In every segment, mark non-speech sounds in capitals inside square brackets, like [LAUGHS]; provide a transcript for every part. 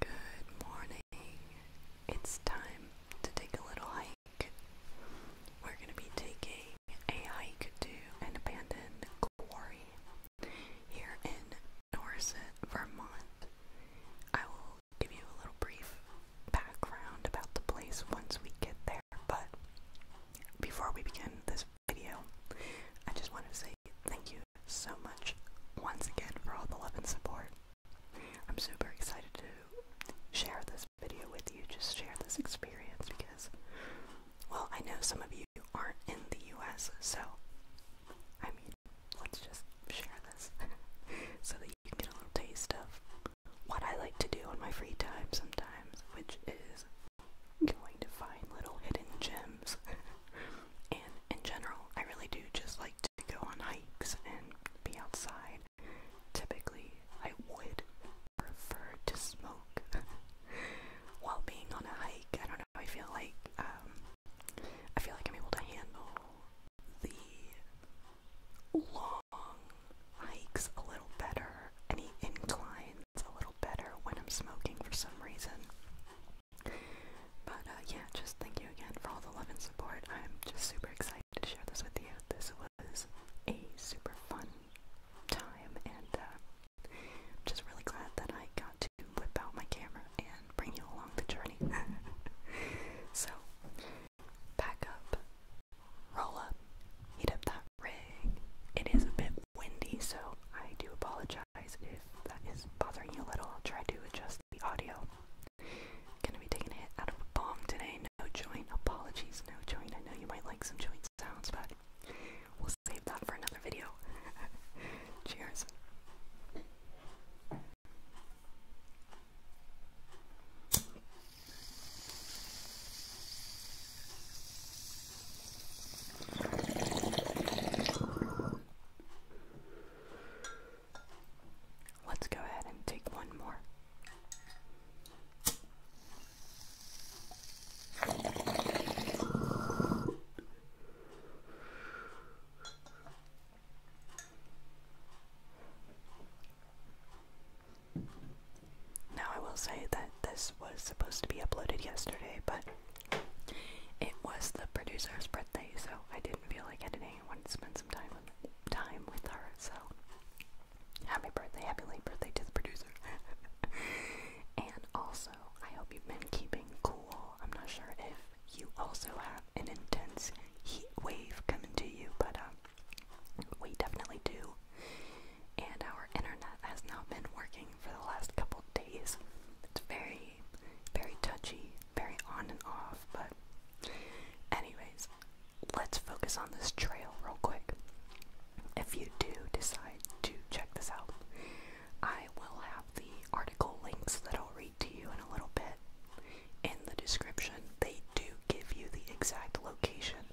Good morning. It's time to take a little hike. We're going to be taking a hike to an abandoned quarry here in Dorset, Vermont. I will give you a little brief background about the place once we get there, but before we begin this video, I just wanted to say thank you so much once again for all the love and support. I'm super excited to share this video with you, just share this experience because, well, I know some of you aren't in the US, so I mean, let's just share this [LAUGHS] so that you can get a little taste of what I like to do on my free time sometimes, which is going to find little hidden gems [LAUGHS] and in general, I really do just like to go on hikes and be outside. Typically, I would prefer to smoke [LAUGHS] while being on a hike. I don't know. I feel like um, I feel like I'm able to handle the long hikes a little better, any inclines a little better when I'm smoking for some reason. But uh, yeah, just thank you again for all the love and support. I'm just super excited to share this with you. This was a super fun time, and I'm uh, just really glad that I got to whip out my camera and bring you along the journey. [LAUGHS] so, pack up, roll up, heat up that rig. It is a bit windy, so I do apologize apologize if that is bothering you a little. I'll try to adjust the audio. Gonna be taking a hit out of a bong today. No joint. Apologies, no joint. I know you might like some joint sounds, but we'll save that for another video. [LAUGHS] Cheers. Let's go ahead and take one more. Now, I will say that this was supposed to be uploaded yesterday, but it was the producer's birthday, so I didn't feel like editing. I wanted to spend some time with, time with her, so happy birthday, happy late birthday to the producer. [LAUGHS] and also, I hope you've been keeping cool. I'm not sure if you also have an intense heat wave coming to you, but um, we definitely do. And our internet has not been working for the last couple days. It's very, very touchy, very on and off, but, anyways, let's focus on this trail real quick. If you do decide to check this out, I will have the article links that I'll read to you in a little bit in the description. They do give you the exact location.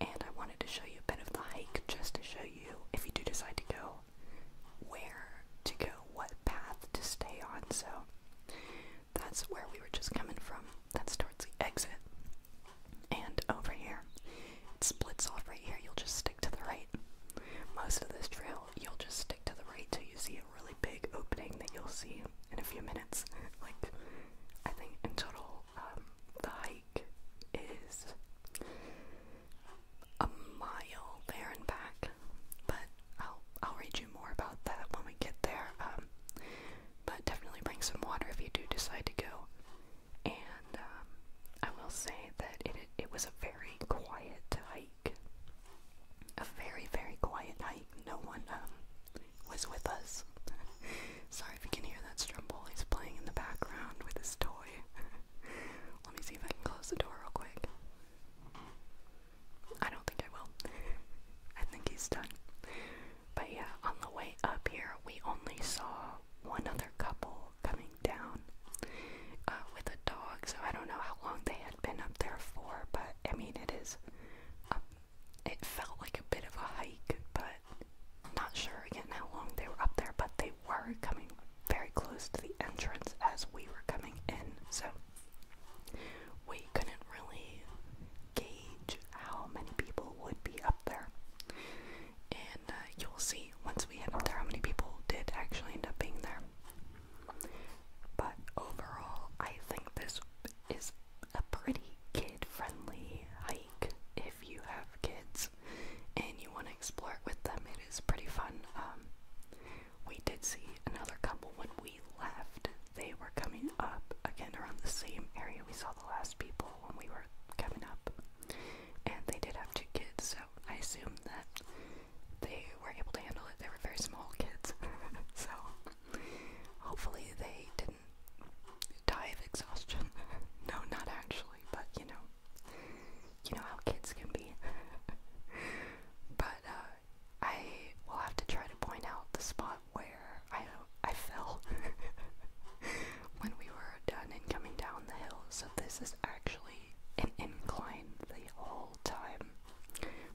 And I wanted to show you a bit of the hike just to show you, if you do decide to go, where to go, what path to stay on. So that's where we were just coming from. That's towards the exit. And over here, it splits off right here. You'll just stick to the right. Most of this trail, you'll just stick to the right till you see a really big opening that you'll see in a few minutes. Like, I think in total, um, the hike is a mile there and back, but I'll I'll read you more about that when we get there. Um, but definitely bring some water if you do decide to go. And um, I will say that it it was a very quiet hike, a very very quiet hike. No one um, was with us. [LAUGHS] Sorry if you can hear that Strumble. He's playing in the background with his toy. [LAUGHS] Let me see if I can close the door real quick. I don't think I will. [LAUGHS] I think he's done. But yeah, on the way up here, we only saw one other couple coming down uh, with a dog, so I don't know how long they had been up there for, but I mean, it is. Um, it felt like a bit of a hike, but not sure again how long they were up there, but they were coming very close to the entrance as we were coming in, so we couldn't really gauge how many people would be up there. And uh, you'll see once we end up there how many people did actually end up being there. But overall, I think this is a pretty kid friendly hike if you have kids and you want to explore it with them. It is pretty fun. Um, we did see another couple when we left. They were coming up again around the same area we saw the last people when we were coming up. And they did have two kids, so I assume that they were able to handle it. They were very small kids. [LAUGHS] so hopefully they didn't die of exhaustion. [LAUGHS] no, not actually, but you know, you know how kids can be. [LAUGHS] but uh, I will have to try to point out the spot where I I fell [LAUGHS] when we were done and coming down the hill. So this is actually an incline the whole time,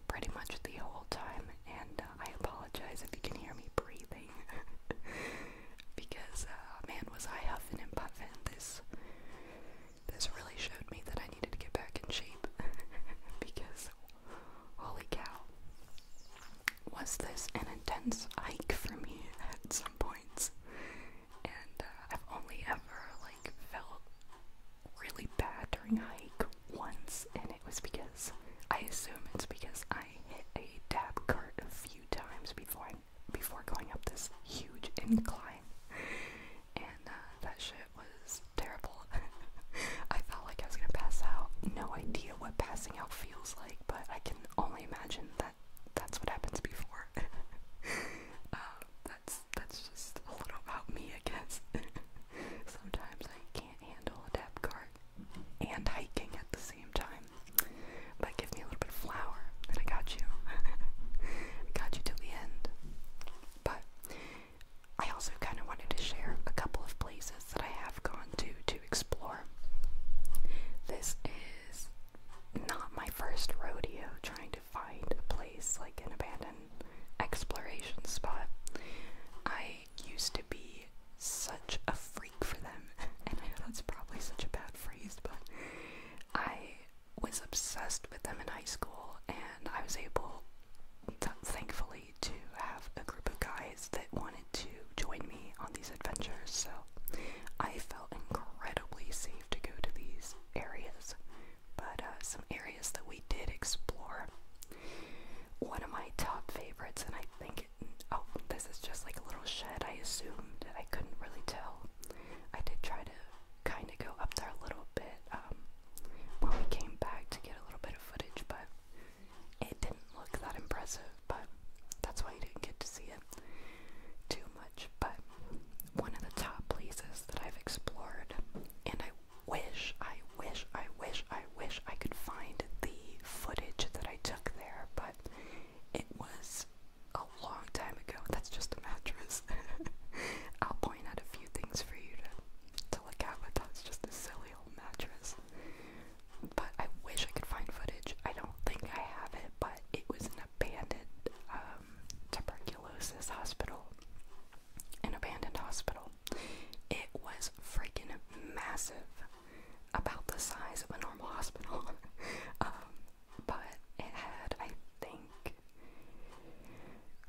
pretty much the whole time. And uh, I apologize if you can hear me breathing. [LAUGHS] because uh, man, was I huffing and puffing. This this really showed me that I needed to get back in shape [LAUGHS] because holy cow, was this an intense hike for me at some points? And uh, I've only ever like felt really bad during a hike once, and it was because I assume it's because I hit a dab cart a few times before before going up this huge incline, and uh, that shit was terrible. [LAUGHS] I felt like I was gonna pass out. No idea what passing out feels like, but I can only imagine that that's what happens before. [LAUGHS] Um, that's that's just a little about me, I guess. [LAUGHS] Sometimes I can't handle a dab cart and hiking at the time. But give me a little bit of flour, and I got you. [LAUGHS] got you till the end. But I also kind of wanted to share a couple of places that I have gone to to explore. This is not my first rodeo trying to find a place like an abandoned exploration spot. I used to be such a freak for them, [LAUGHS] and I know that's probably such a bad phrase, but I was obsessed with them in high school, and I was able, thankfully, to have a group of guys that wanted to join me on these adventures. So I felt incredibly safe to go to these areas. But uh, some areas that we did explore. One of my top favorites, and I think oh, this is just like a little shed, I assumed. I couldn't really tell. I did try to kind of go up there a little bit um, when we came back to get a little bit of footage, but it didn't look that impressive. But that's why you didn't get to see it too much. But one of the top places that I've explored, and I wish, I wish, I wish, I wish I could find the footage that I took there, but it was a long time ago. That's just a mattress. [LAUGHS] I'll point out a few things for you to, to look at, but that's just a silly old mattress. But I wish I could find footage. I don't think I have it, but it was an abandoned um, tuberculosis hospital. An abandoned hospital. It was freaking massive about the size of a normal [LAUGHS] hospital. Um, but it had, I think,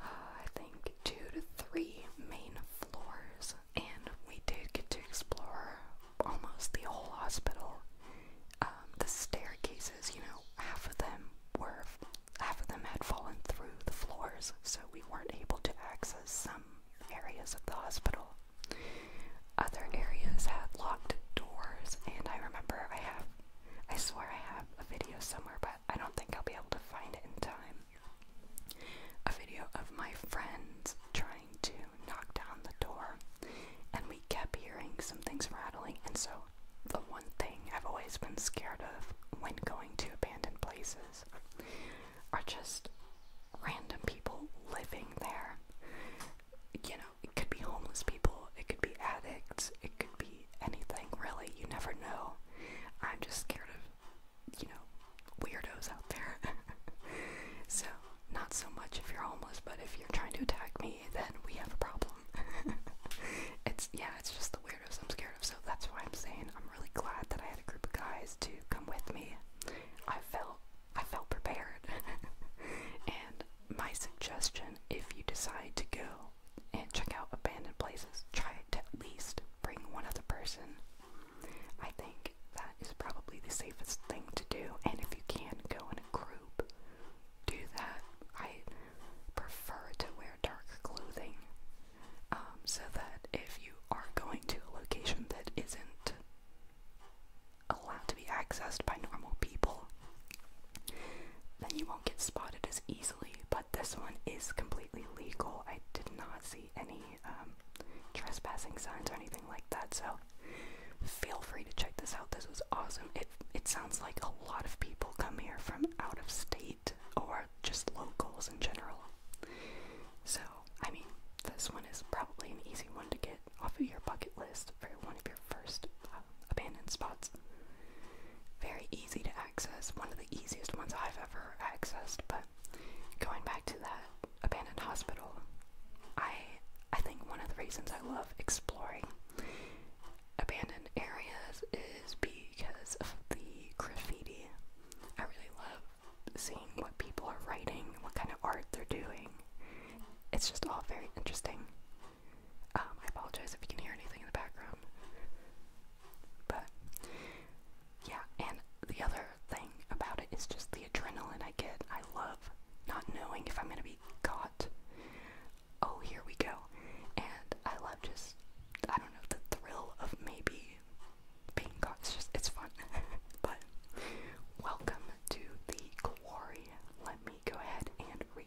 uh, I think two to three main floors, and we did get to explore almost the whole hospital. Um, the staircases, you know, half of them were, half of them had fallen through the floors, so we weren't able to access some areas of the hospital. Other areas had locked doors, and I remember I have, I swear I have a video somewhere, but I don't think I'll be able to find it in time. A video of my friends trying to knock down the door, and we kept hearing some rattling, and so the one thing I've always been scared of when going to abandoned places are just random people living there. You know, it could be homeless people, it could be addicts, it could be anything really. You never know. I'm just scared of, you know, weirdos out there. [LAUGHS] so, not so much if you're homeless, but if you're trying to attack me, then we have a problem. [LAUGHS] it's, yeah, it's just the weirdos I'm scared of, so that's why I'm saying I'm really glad that I had a group of guys to come with me. I felt I felt prepared. [LAUGHS] and my suggestion if you decide to go and check out abandoned places, try to at least bring one other person. I think that is probably the safest thing to do. And if you can go in a group, do that. I prefer to wear dark clothing um, so that if you are going to a location that isn't allowed to be accessed by normal people, then you won't get spotted as easily. But this one is completely legal. I did not see any um, trespassing signs or anything like that, so feel free to check this out. This was awesome. It it sounds like a lot of people come here from out of state or just locals in general. So I mean, this one is probably an easy one to get off of your bucket list for one of your first uh, abandoned spots. Very easy to access, one of the easiest ones I've ever accessed, but going back to that abandoned hospital, I I think one of the reasons I love exploring abandoned areas is because of the graffiti. I really love seeing what people are writing, what kind of art they're doing. It's just all very interesting. Um, I apologize if you can hear anything in the background. But, yeah, and the other thing about it is just the adrenaline I get. I love not knowing if I'm gonna be caught. Oh, here we go. And I love just, I don't know, the thrill of maybe being caught. just, it's fun. [LAUGHS] but welcome to the glory. Let me go ahead and read.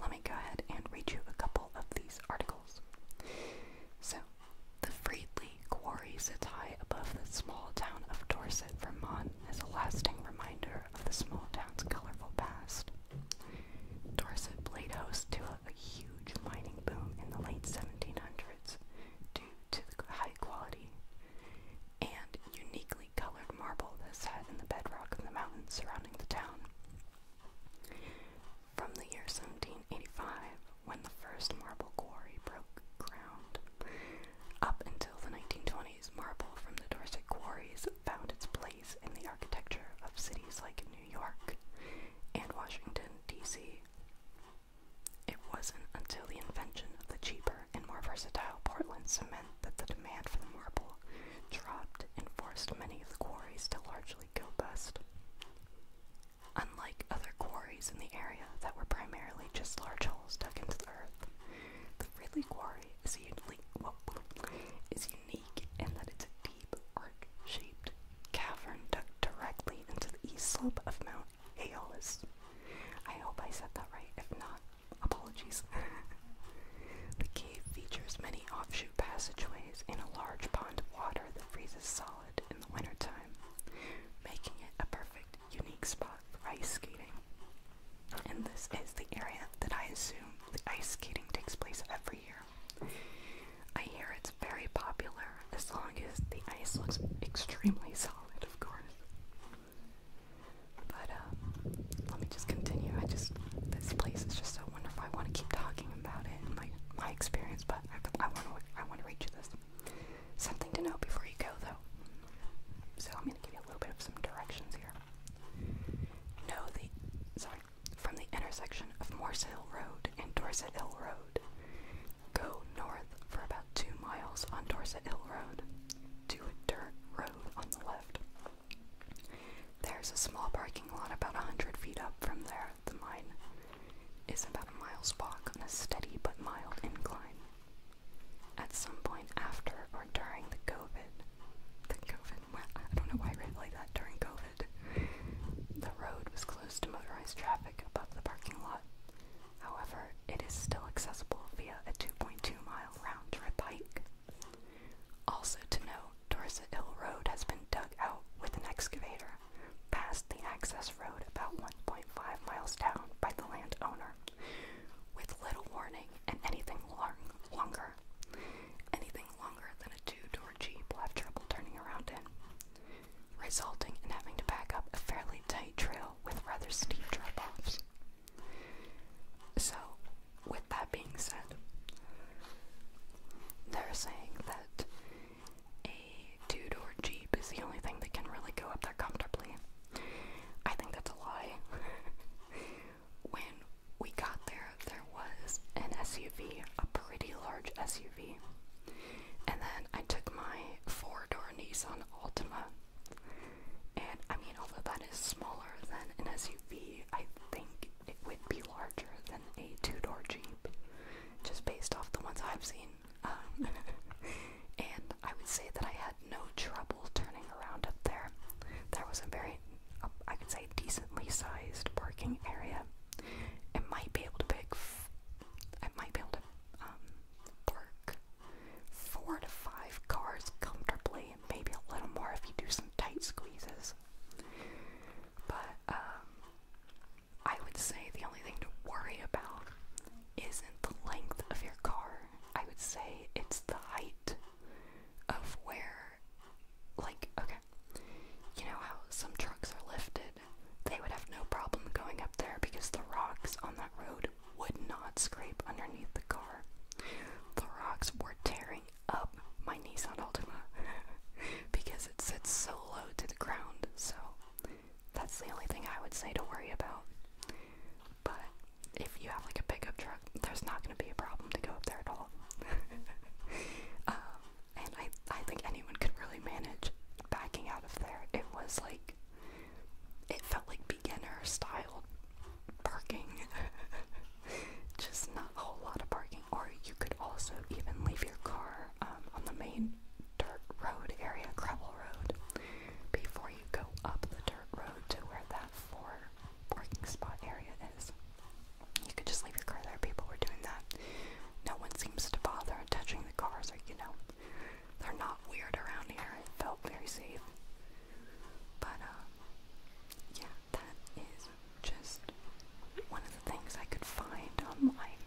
Let me go ahead and read you a couple of these articles. So, the Freedley Quarry sits high above the small town of Dorset, Vermont, as a lasting reminder of the small town's colorful past. Dorset played host to a, huge mining boom in the late 1700s due to the high quality and uniquely colored marble that sat in the bedrock of the mountains surrounding the town. From the year 1785, when the first marble quarry broke ground, up until the 1920s, marble from the Dorset quarries found its place in the architecture of cities like New York. New York and Washington, D.C. It wasn't until the invention of the cheaper and more versatile Portland cement that the demand for the marble dropped and forced many of the quarries to largely go bust. Unlike other quarries in the area that were primarily just large holes dug into the earth, the Ridley Quarry is unique, well, is and that it's a deep, arc-shaped cavern tucked directly into the east slope of Mount Aeolus. I hope I said that right. If not, apologies. [LAUGHS] the cave features many offshoot passageways and a large pond of water that freezes solid in the wintertime, making it a perfect, unique spot for ice skating. And this is the area that I assume the ice skating takes place every year. I hear it's very popular as long as the ice looks extremely solid, of course. But uh, let me just continue. I just this place is just so wonderful. I want to keep talking about it my my experience, but I want I want to read you this. Something to know before you go, though. So I'm going to give you a little bit of some directions here. Know the sorry from the intersection of Morse Hill Road and Dorset Hill Road. Go north for about two miles on Dorset Hill Road to a dirt road on the left. There's a small parking lot about 100 feet up from there. The mine is about a mile's walk on a steady but mild incline. At some point after or during the COVID, the COVID, I don't know why I read like that during COVID. The road was closed to motorized traffic above the parking lot. However, it is still accessible via a 2.2 mile round trip hike. Also to note, Dorset Hill Road has been dug out with an excavator past the access road about 1.5 miles down by the landowner, with little warning and anything longer Anything longer than a two-door jeep will have trouble turning around in, resulting in having to back up a fairly tight trail with rather steep drop-offs. So, with that being said, they're saying that a two-door jeep is the only thing that can really go up there comfortably. I think that's a lie. [LAUGHS] when we got there, there was an SUV, a pretty large SUV. And then I took my four door Nissan Altima. And I mean, although that is smaller than an SUV, I think it would be larger than a two door Jeep, just based off the ones I've seen. Um, [LAUGHS] and I would say that I had no trouble turning around up there. There was a very I would say, decently sized parking area, it might be able to pick, I might be able to um, park four to five cars comfortably, and maybe a little more if you do some tight squeezes. But um, I would say the only thing to worry about isn't the length of your car. I would say it's the height of where like, okay, you know how some trucks are lifted? They would have no problem going up there because the rocks on that road would not scrape underneath the car. The rocks were tearing up my Nissan Altima [LAUGHS] because it sits so low to the ground, so that's the only thing I would say to worry about. But if you have like a pickup truck there's not going to be a problem to go up there at all. [LAUGHS] Um, and I, I think anyone could really manage backing out of there. It was like, it felt like beginner style parking. [LAUGHS] Just not a whole lot of parking. Or you could also even leave your car um, on the main dirt road area, gravel road, before you go up the dirt road to where that for parking spot area is. You could just leave your car there. People were doing that. No one seems to bother touching the cars, or you know, they're not weird around here. It felt very safe. But uh, yeah, that is just one of the things I could find online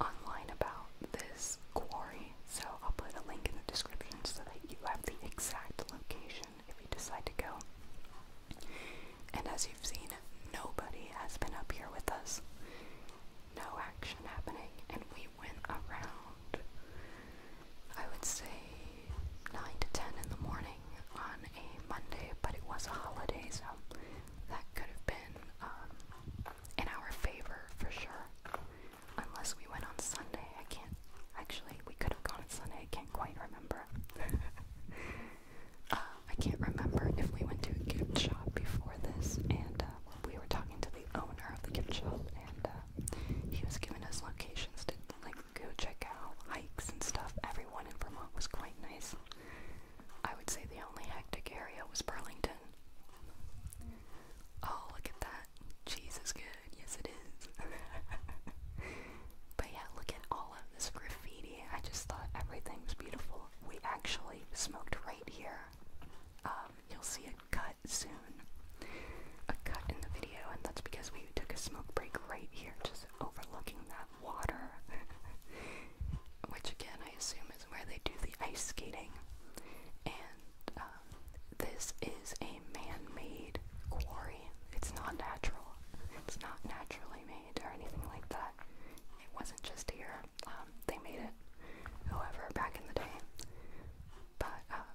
online about this quarry. So I'll put a link in the description so that you have the exact location if you decide to go. And as you've seen, nobody has been up here with us. No action happening, and we went around, I would say, 9 to 10 in the morning on a Monday, but it was a holiday, so that could have been um, in our favor for sure. Unless we went on Sunday, I can't. Actually, we could have gone on Sunday, I can't quite remember before. [LAUGHS] uh, um, I can't remember if we went to a gift shop before this, and uh, we were talking to the owner of the gift shop, and uh, he was giving us locations to like go check out hikes and stuff. Everyone in Vermont was quite nice. I would say the only hectic area was Burlington. Oh, look at that. Cheese is good. Yes, it is. [LAUGHS] but yeah, look at all of this graffiti. I just thought everything was beautiful. We actually smoked right here. Um, you'll see a cut soon. A cut in the video, and that's because we took a smoke break right here, just overlooking that water. [LAUGHS] Which again, I assume is where they do the ice skating. And um, this is man-made quarry. It's not natural. It's not naturally made or anything like that. It wasn't just here. Um, they made it, however, back in the day. But uh,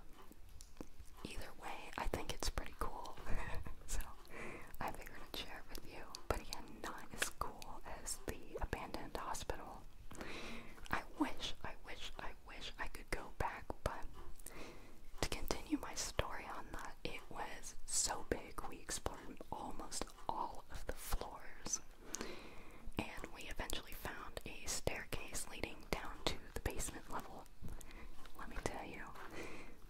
either way, I think it's pretty cool. [LAUGHS] so I figured i share it with you. But again, not as cool as the abandoned hospital. I wish, I wish, I wish I could go back, but to continue my story on that, it was so big we explored almost all of the floors. And we eventually found a staircase leading down to the basement level. Let me tell you,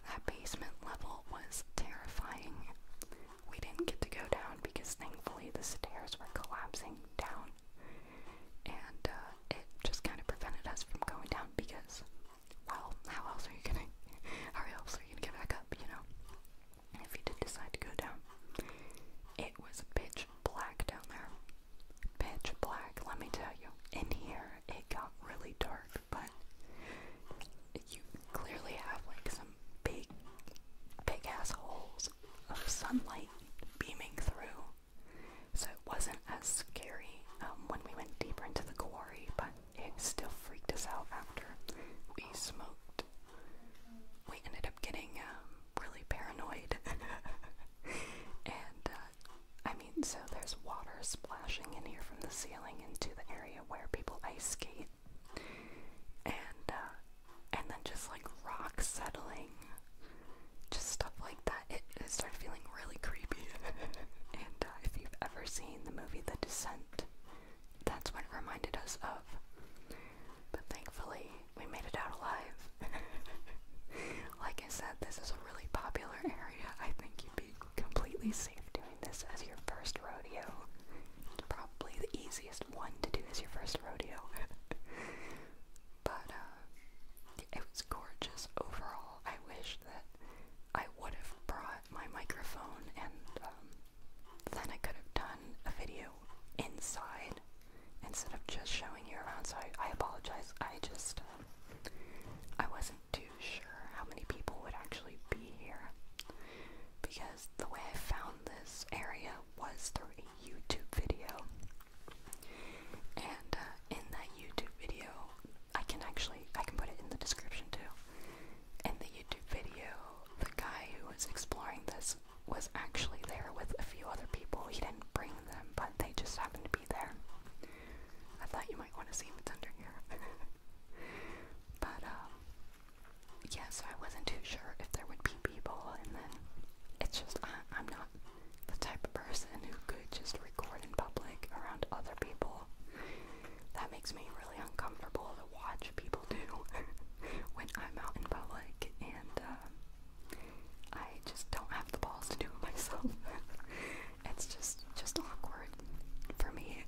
that basement level was terrifying. We didn't get to go down because thankfully the stairs were collapsing down. And uh, it just kind of prevented us from going down because well, how else are you gonna, [LAUGHS] how else are you gonna get back up, you know? If you did decide to go down. It was pitch black down there. Pitch black, let me tell you. In here, it got really dark, but you clearly have like some big, big ass holes of sunlight beaming through so it wasn't as scary um, when we went deeper into the quarry, but it still freaked us out after we smoked. We ended up getting um, really paranoid. [LAUGHS] and uh, I mean, so there's water splashing in here from the ceiling into the area where people ice skate. And, uh, and then just like rock settling just stuff like that. It, it started feeling really creepy. [LAUGHS] and uh, if you've ever seen the movie The Descent, that's what it reminded us of. But thankfully, we made it out alive. [LAUGHS] like I said, this is a really popular area. I think you'd be completely safe doing this as your first rodeo. probably the easiest one to do is your first rodeo. [LAUGHS] but, uh, it was gorgeous overall. I wish that I would have brought my microphone and um, then I could have done a video inside instead of just showing you around. So I, apologize. I just um, I wasn't too sure how many people would actually be here because the way I found this area was through a YouTube video and uh, in that YouTube video, I can actually I can put it in the description too. In the YouTube video, the guy who was exploring this was actually there with a few other people. He didn't bring them, but they just happened to be there. I thought you might want to see what's under here. [LAUGHS] but um yeah, so I wasn't too sure if there would be people and then it's just I I'm not the type of person who could just record in public around other people. That makes me really uncomfortable to watch people do [LAUGHS] when I'm out in public, and uh, I just don't have the balls to do it [LAUGHS] myself. it's just just awkward for me.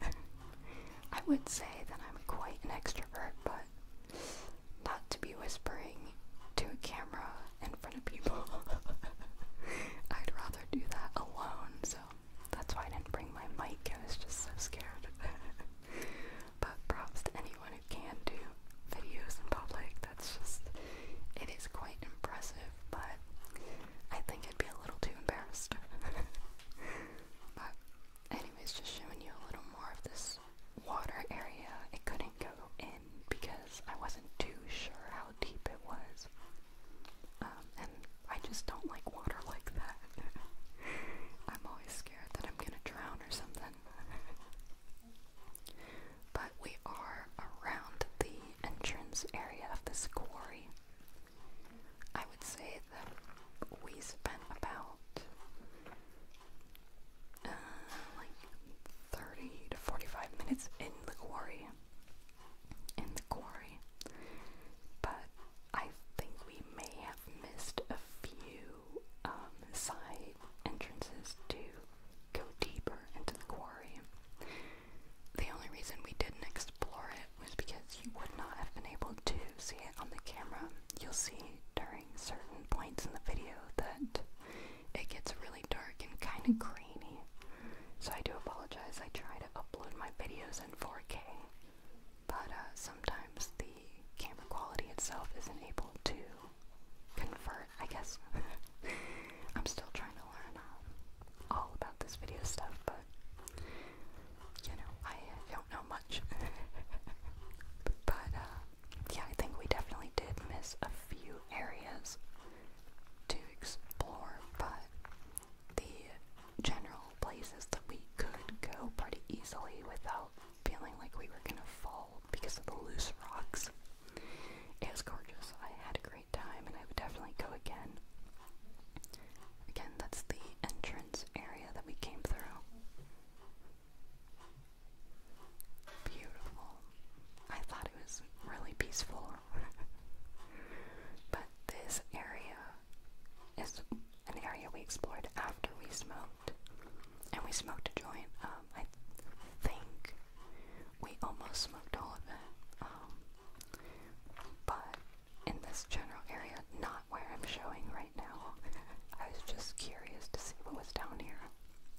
[LAUGHS] I would say that I'm quite an extrovert, but not to be whispering to a camera camera in front of people. [LAUGHS] I'd rather do that alone, so that's why I didn't bring my mic. I was just so scared. [LAUGHS] but props to anyone who can do videos in public. That's just, it is quite impressive, but I think I'd be a little too embarrassed. [LAUGHS] but, anyways, just showing you a little more of this water area. It couldn't go in because I wasn't too sure how deep it was. Um, and I just don't like water like that. [LAUGHS] I'm always scared that I'm gonna drown or something. [LAUGHS] but we are around the entrance area of this quarry. I would say that we spent about uh, like 30 to 45 minutes in the quarry. In the quarry. But I think we may have missed a few um, side entrances to go deeper into the quarry. The only reason we didn't explore it was because you would not have been able to see it on the camera. You'll see during certain points in the video that it gets really dark and kind of grainy. So I do apologize. I try to upload my videos in 4K, but uh, sometimes the camera quality itself isn't able to convert, I guess. [LAUGHS] I'm still trying to learn uh, all about this video stuff, but you know, I don't know much. [LAUGHS] but uh, yeah, I think we definitely did miss a few areas to explore, but the general places that we could go pretty easily without feeling like we were gonna fall because of the loose rocks. It was gorgeous. I had a great time and I would definitely go again. Again, that's the entrance area that we came through. Beautiful. I thought it was really peaceful. [LAUGHS] but this area is an area we explored after we smoked. And we smoked a joint. Um, I think we almost smoked all of it. Um, but in this general area, not where I'm showing right now. [LAUGHS] I was just curious to see what was down here.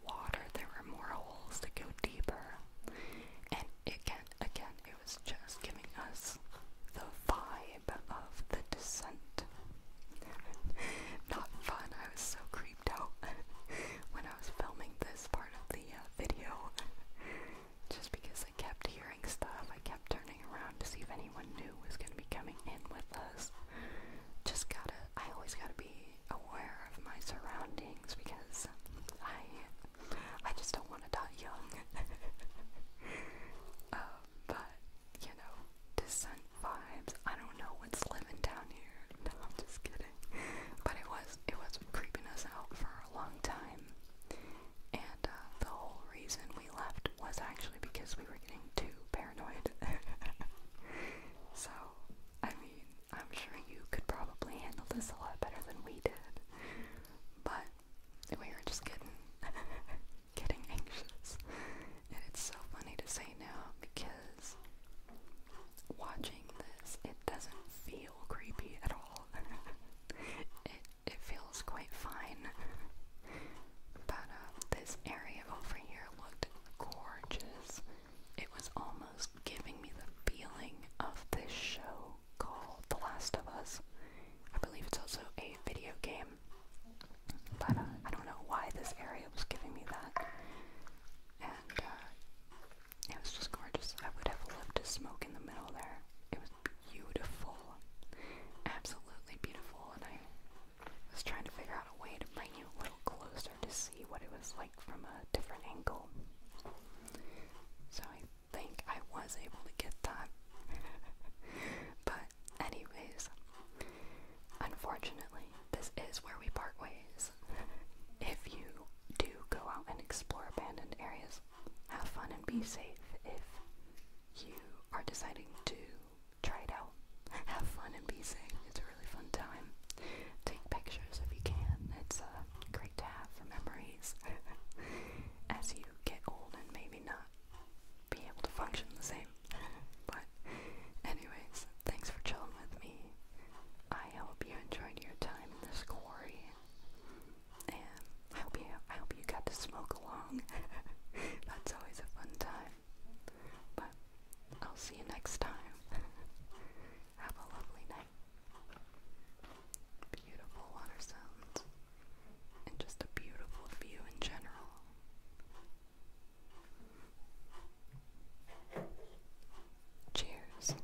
water, there were more holes to go deeper. And it again, again, it was just giving us the vibe of the descent. [LAUGHS] Not fun, I was so creeped out [LAUGHS] when I was filming this part of the uh, video. just because I kept hearing stuff, I kept turning around to see if anyone new was going to be coming in with us just gotta, I always gotta be aware of my surroundings because I, I just don't want to die young. [LAUGHS] Uh, but, you know, descent vibes, I don't know what's living down here. [LAUGHS] No, I'm just kidding. But it was, it was creeping us out for a long time. And uh, the whole reason we left was actually because we were getting too paranoid paranoid. [LAUGHS] so, I mean, I'm sure you could probably handle this a lot better than we did. But we were just getting [LAUGHS] getting anxious. And it's so funny to say now because watching this it doesn't feel creepy at all. [LAUGHS] it it feels quite fine. But um, this area over here looked gorgeous. It was almost giving me the feeling of this show called The Last of Us. I believe it's also a video game. But uh, I don't know why this area was giving me that. And uh, it was just gorgeous. I would have loved to smoke in the middle there. It was beautiful. Absolutely beautiful. And I I was trying to figure out a way to bring you a little closer to see what it was like from a different angle. So I think I was able to get that. [LAUGHS] but, anyways, unfortunately, this is where we part ways. [LAUGHS] if you do go out and explore abandoned areas, have fun and be safe. If you are deciding to try it out. Have fun and be sing. It's a really fun time. Take pictures if you can. It's uh, great to have for memories. [LAUGHS] As you get old and maybe not be able to function the same. but anyways, thanks for chilling with me. I hope you enjoyed your time in this quarry. And I hope you I hope you got to smoke along. [LAUGHS] That's always a fun time. But I'll see you next time. [LAUGHS] Have a lovely night. Beautiful water sounds. And just a beautiful view in general. Cheers.